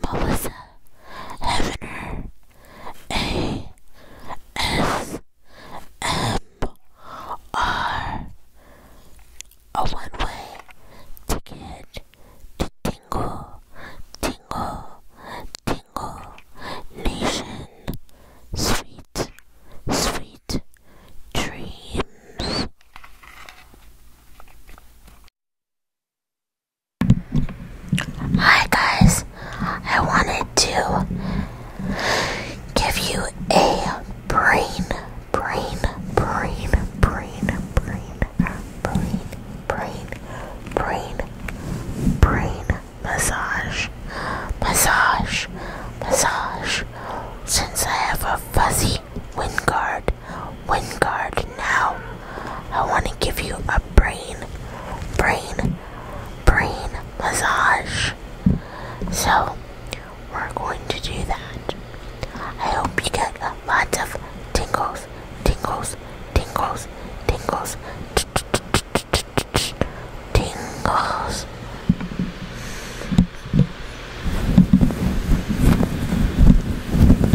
Melissa Hefner A S M R A one way ticket to Tingle Tingle Tingle Nation Sweet Sweet Dreams Hi guys, I wanted to give you a brain, brain, brain, brain, brain, brain, brain, brain, brain massage, massage, massage. Since I have a fuzzy wind guard, Wingard, now I want to give you a brain, brain, brain massage. So we're going to do that. I hope you get lots of tingles, tingles, tingles, tingles, tingles.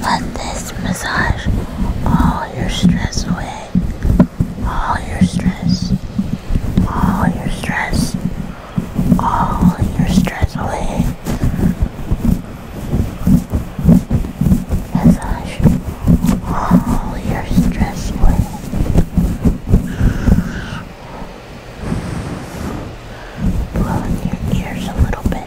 Let this massage all your stress away. All your stress. All your stress. All your stress away. Massage all your stress away. Blow in your ears a little bit.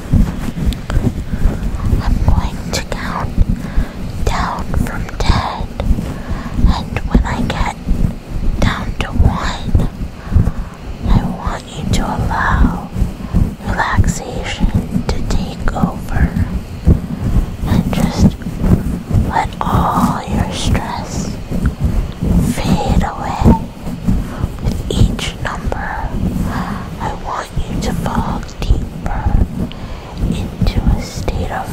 I'm going to count down from ten, and when I get down to one, I want you to allow relaxation to take over and just let all your stress fade away with each number. I want for to fall deeper into a state of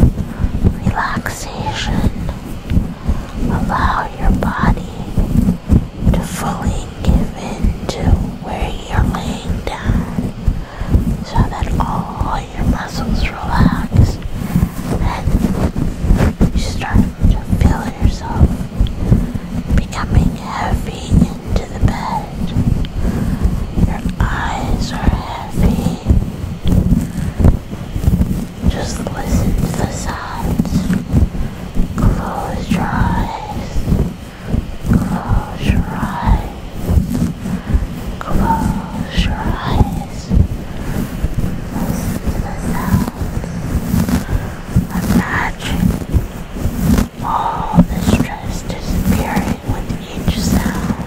relaxation. Allow your body to fully give in to where you're laying down so that all your muscles relax and you start to feel yourself becoming heavy. To the bed. Your eyes are heavy. Just listen to the sounds. Close your eyes. Close your eyes. Close your eyes. Listen to the sounds. Imagine all the stress disappearing with each sound.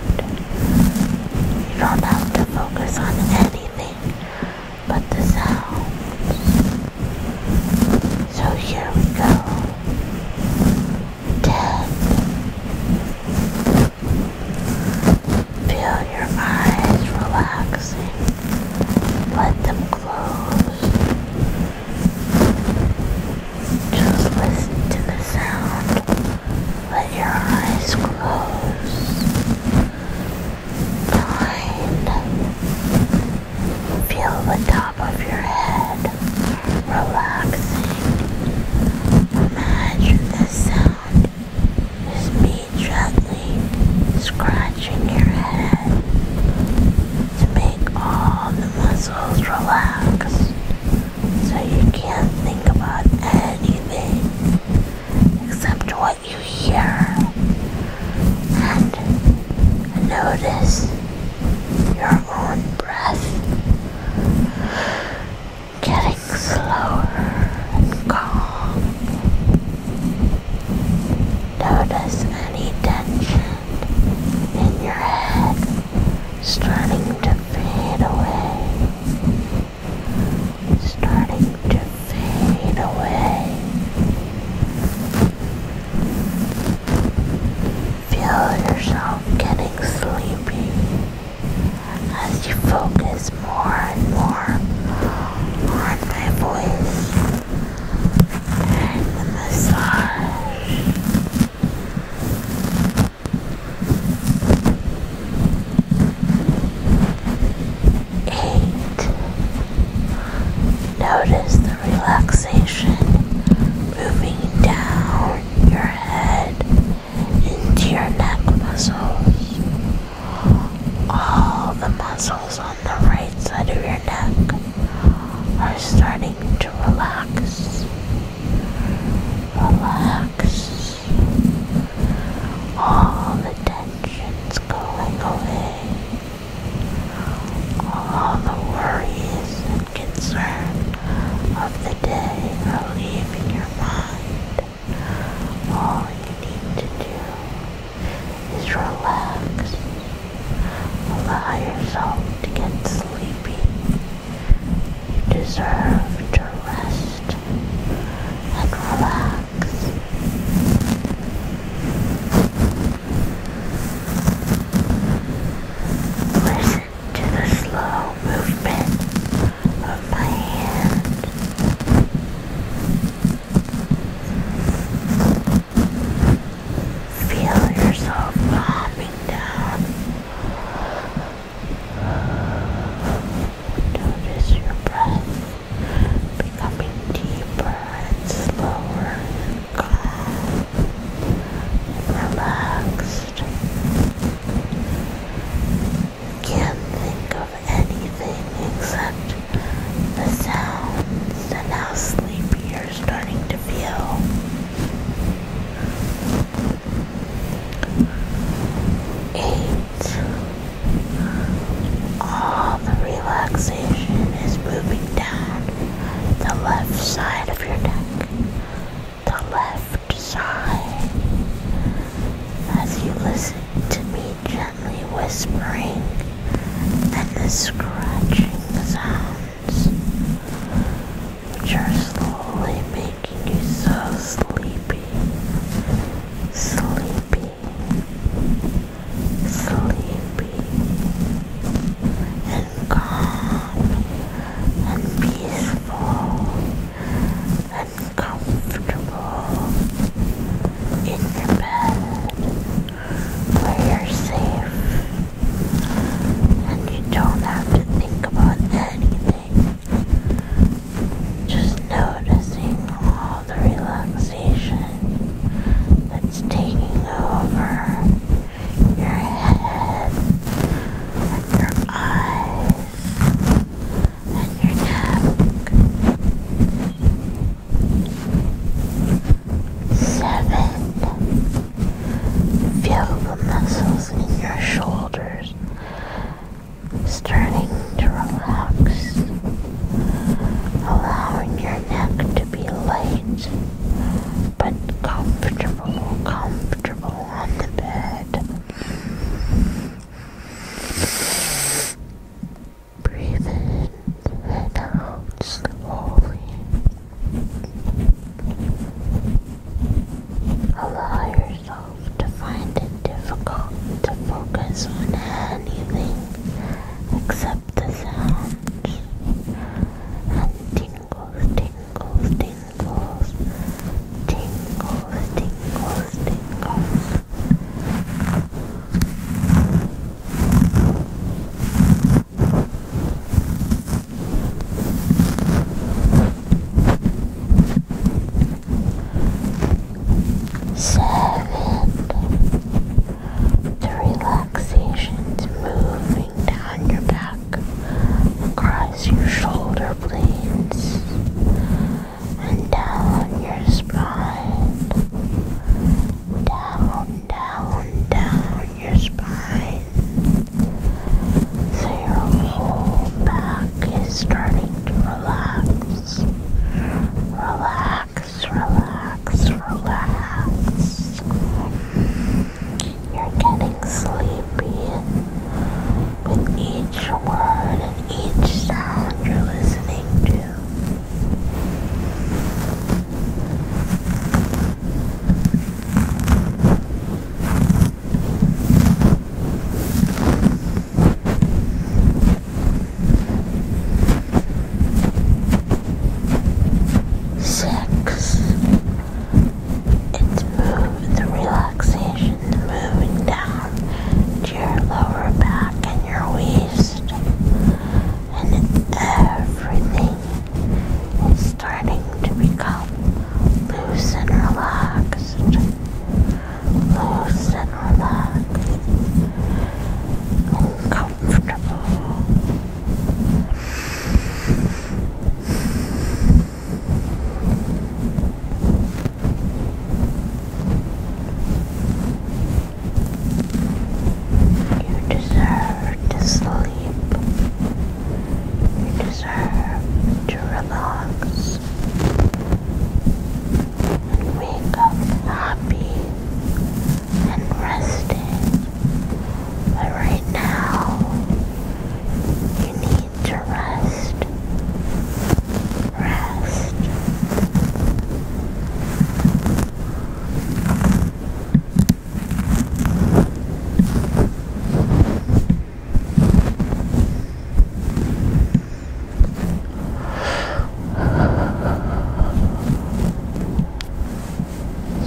You don't have to focus on anything but the sounds. So here we go. Ten. Feel your eyes relaxing. Let them close. Just listen to the sound. Let your eyes close. Blind. Feel the top of your head relaxing. Imagine the sound is me gently scratching your head to make all the muscles relax so you can't think about anything except what you hear and notice your own breath getting slower and calm. Notice any tension in your head starting to fade away, starting to fade away. Feel yourself getting sleepy as you focus more and more on my voice and the massage. Eight. Notice the relaxation moving down your head into your neck muscles. All the muscles on the right side of your neck are starting to relax, relax. All the tensions going away, all the worries and concern of the day are leaving your mind. All you need to do is relax. Allow yourself to get sleepy. You deserve to rest and relax. Listen to the slow movement of my hand. Feel yourself calming down. Notice your breath becoming deeper and slower calm relaxed. can't think of anything except the sounds and how sleepy are starting to feel. Eight. All the relaxation is moving down the left side of your neck, the left side, as you listen to me gently whispering and the scratching sound which are slowly making you so sleepy, sleepy, sleepy, and calm, and peaceful, and comfortable in your bed where you're safe and you don't have to think about anything. Just noticing all the relaxation that's taking over your head and your eyes and your neck. Seven. Feel the muscles in your shoulders starting to relax, allowing your neck to be light but comfortable, comfortable on the bed. Breathe in and out slowly. Allow yourself to find it difficult to focus on anything except the sounds and tingles, tingles, tingles, tingles, tingles, tingles. Seven. The relaxation's moving down your back across your shoulder blades and down your spine. Down down, down your spine. your whole back is starting to relax. Relax, relax, relax. You're getting sleepy with each word and each sound you're listening to. Six. It's move the relaxation, moving down to your lower back and your waist and everything it's starting to become loose and relaxed, loose and relaxed, comfortable. You deserve to sleep. You deserve to relax and wake up happy and rested. But right now, you need to rest. Rest.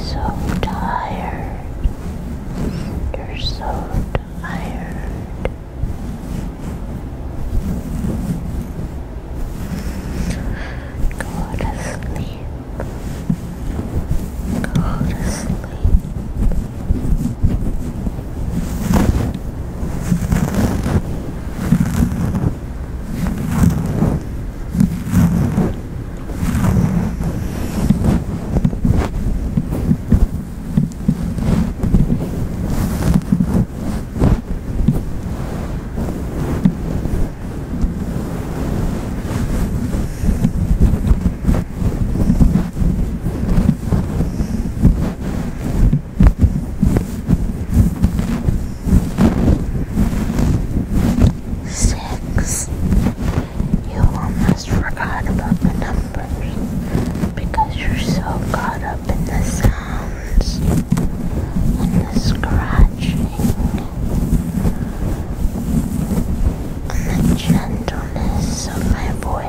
So tired. You're so tired. Go to sleep. Go to sleep. Good night. Six. You almost forgot about the numbers because you're so caught up in the sounds and the scratching the gentleness of my voice.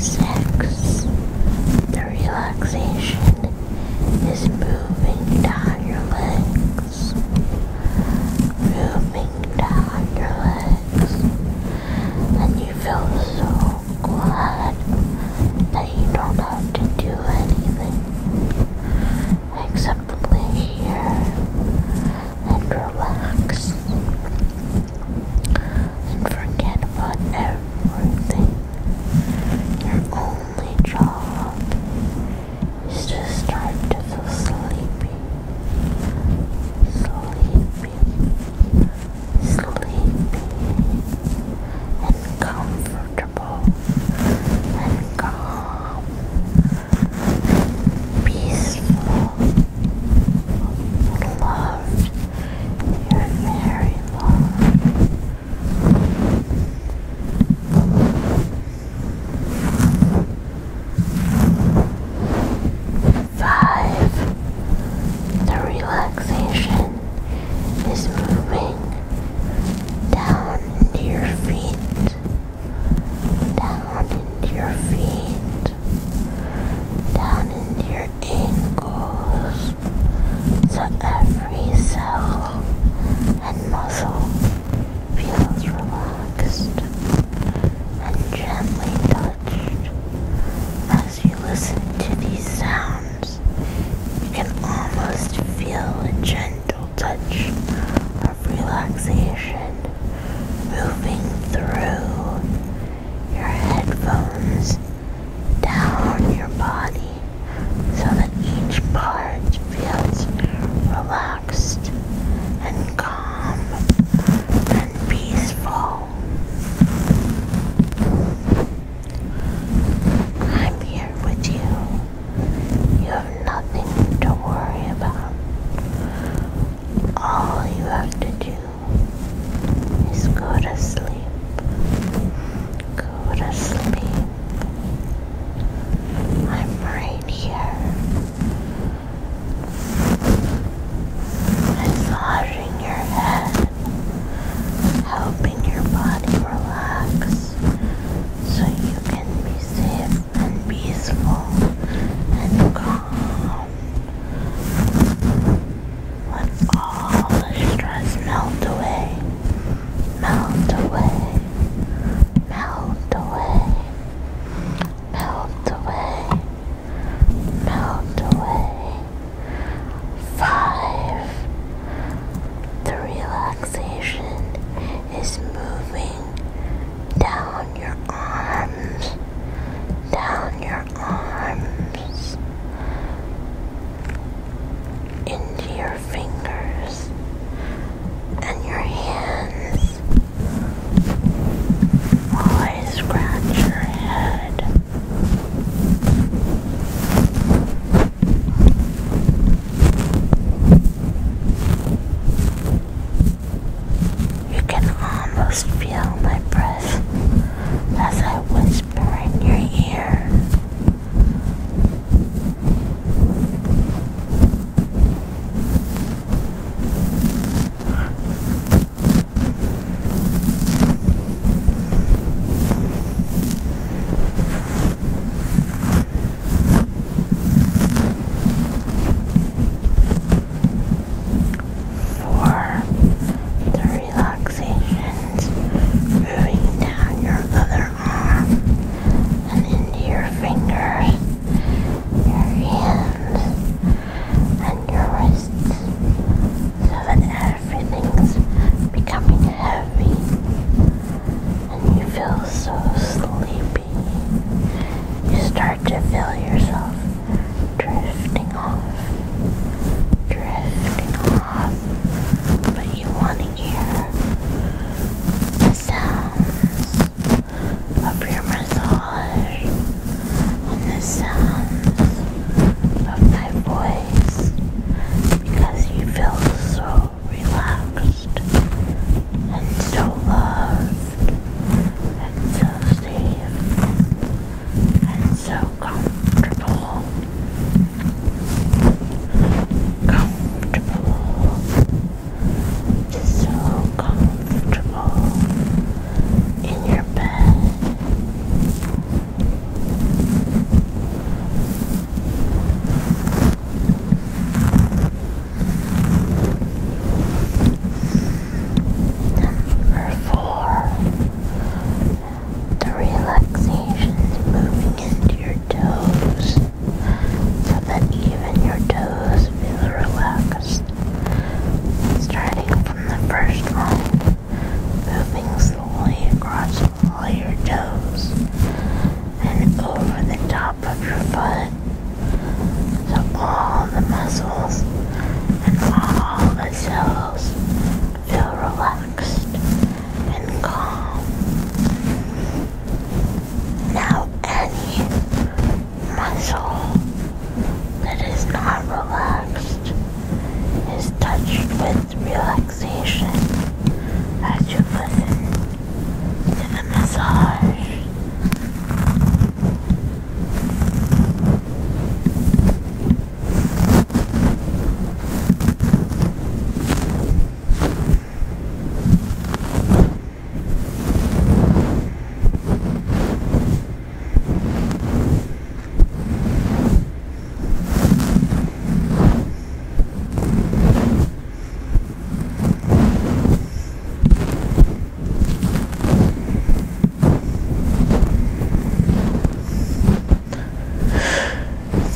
sex, the relaxation is moving down your legs, moving down your legs, and you feel so glad that you don't have to do anything except lay here and relax and forget about everything. Your only job is to start to feel sleepy, sleepy, sleepy, and comfy comfortable calm peaceful loved you're very loved five the relaxation is moving down into your feet, down into your feet, down into your ankles, so every cell and muscle feels relaxed and gently touched. As you listen to these sounds, you can almost feel a gentle touch of relaxation moving through your headphones down your body so that each part feels relaxed and calm and peaceful. I'm here with you you have nothing to worry about. All you have to do is go to sleep. Go to sleep. I'm right here, massaging your head, helping your body relax so you can be safe and peaceful and calm. Let all the stress melt away, melt away, melt away, melt away, melt away. Five. The relaxation is moving down your arms, down your arms, into your fingers and your hands. I scratch your head. You can almost feel my breath as I whisper in your ear for relaxations moving down your other arm and into your fingers, your hands, and your wrists so that everything's becoming heavy and you feel so sleepy. You start to feel yourself drifting off, drifting off, but you want to hear the sounds of your massage and the sounds of my voice because you feel so relaxed and so loved and so safe and so comfortable. Comfortable. so comfortable in your bed. Number four, the relaxation is moving into your toes so that even your toes feel relaxed. Starting from the first one, moving slowly across all your toes and over the top of your foot. So all the muscles and all the cells feel relaxed and calm. Now any muscle that is not relaxed is touched with relaxation as you listen and a massage. Relax.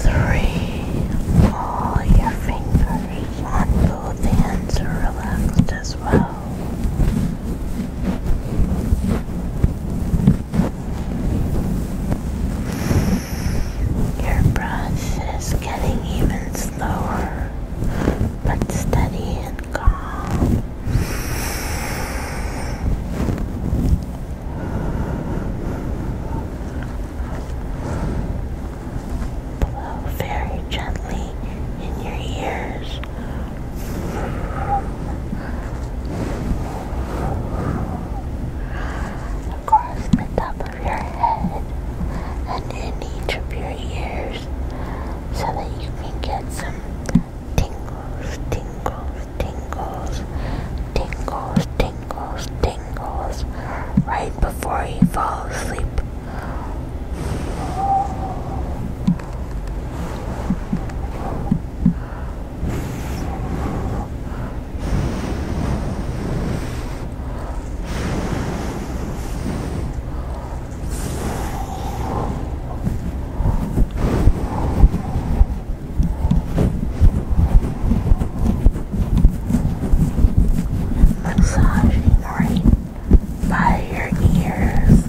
Three. All your fingers on both hands are relaxed as well. Your breath is getting even slower, but steady and calm. Blow very gently in your ears. Across the top of your head and in each of your ears so that you can get some tingles, tingles, tingles, tingles, tingles, tingles right before you fall asleep. Massaging right by your ears,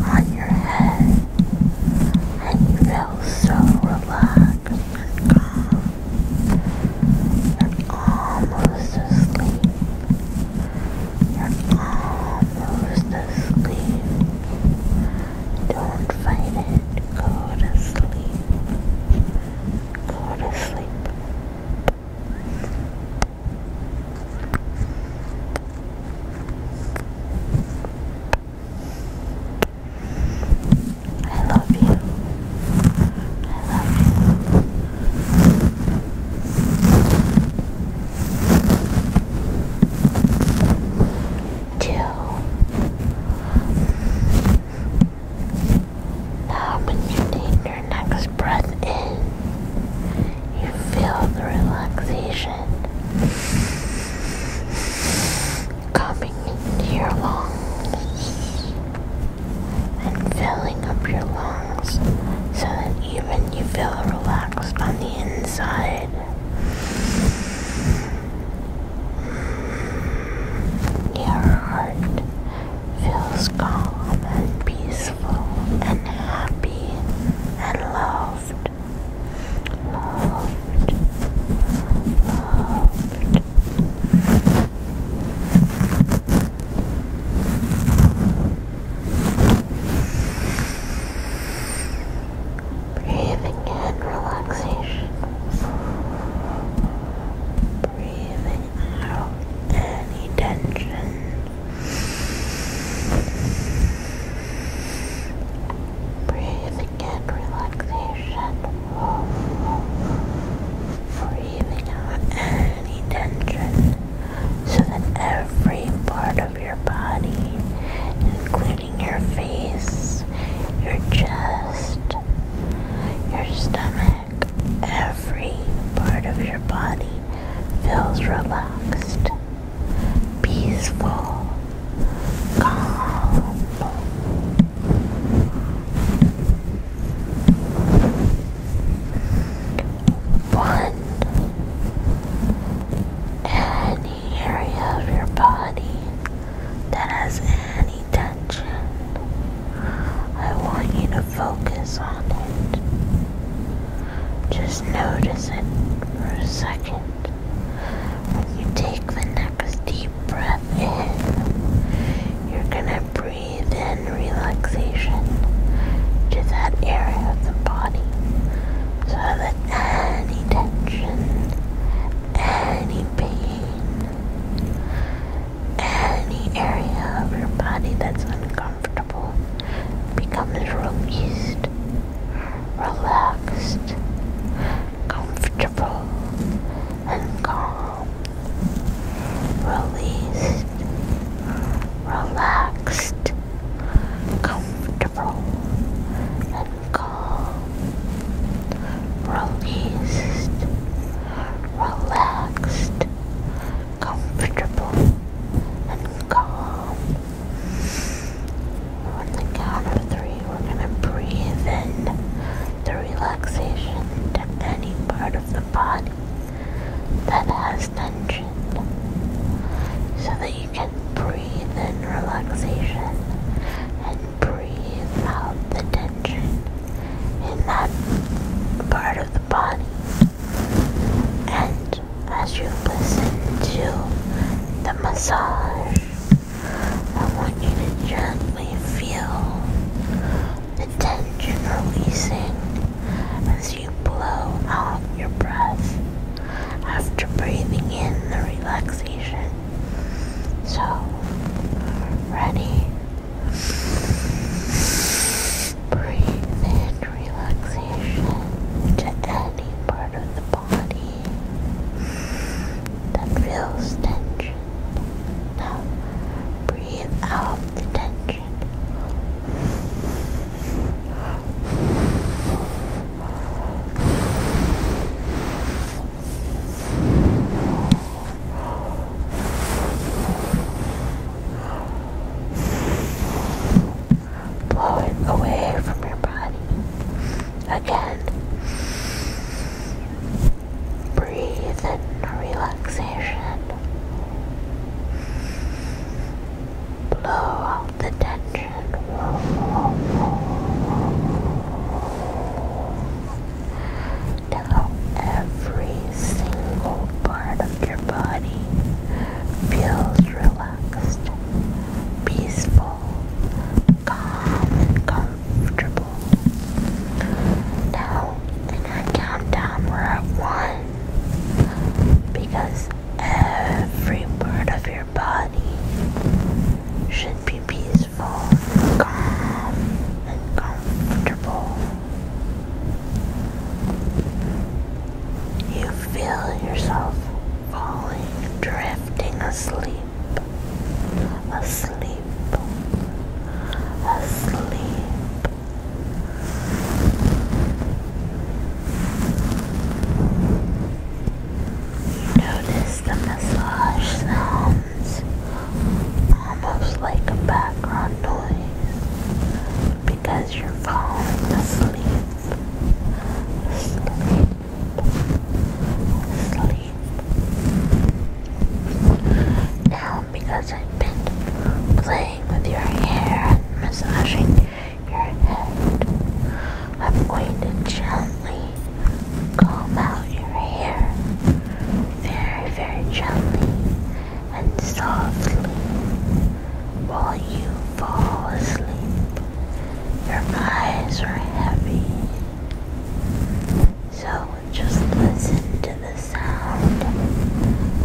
on your head, and you feel so relaxed relax and almost asleep. You're almost asleep. Don't fight it. Go to sleep. Go to sleep. I love you. I love you. Two. Now, when you take your next breath in, you feel the relaxation coming into your lungs and filling up your lungs so that even you feel relaxed on the inside. Your heart feels calm and peaceful and happy and loved. Loved. Loved. Breathing and relaxation. Breathing out any tension. Breathing in relaxation. Breathing out any tension so that every part of your body, including your face, your chest, your stomach, every part of your body feels relaxed, peaceful, calm one any area of your body that has any tension I want you to focus on it just notice it for a second you take the next deep breath in. You're gonna breathe in relaxation to that area of the body so that any tension, any pain, any area of your body that's uncomfortable becomes released, relaxed, comfortable, and calm, released, relaxed, comfortable and calm, released, relaxed, comfortable and calm. On the count of three, we're going to breathe in the relaxation any part of the body that has tension so that you can breathe in relaxation and breathe out the tension in that part of the body. And as you listen to the massage, I want you to gently feel the tension releasing as you blow out your breath after breathing in the relaxation. So, ready? Breathe in relaxation to any part of the body that feels tension breathe out the tension. Blow it away from your body again. Breathe in relaxation. Blow out the tension. Now every single part of your body feels relaxed, peaceful, calm, comfortable. Now, in our countdown, we one because every part of your body should be peaceful, calm, and comfortable. You feel yourself falling, drifting asleep asleep, asleep. Notice the massage sounds almost like a background noise because you're falling asleep. Sleep. Sleep. Now, because I've been playing with your hair and massaging your head, I'm going to gently comb out your hair very, very gently and softly while you fall asleep. Your eyes are heavy. So just listen to the sound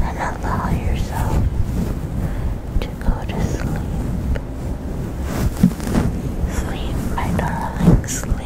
and allow yourself to go to sleep. Sleep, my darling, sleep.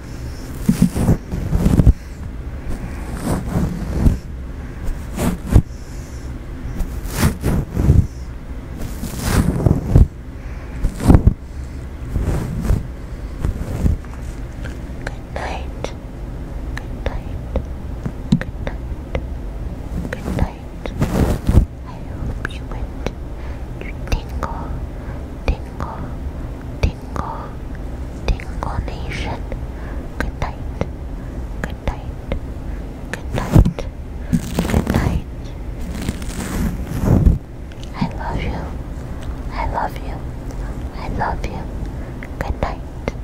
Good night. Good night. Good night. Good night. I hope you went. You tingle, tingle, tingle. Tingle, Tingle Nation. Good night, good night, good night, good night. I love you, I love you, I love you. Good night.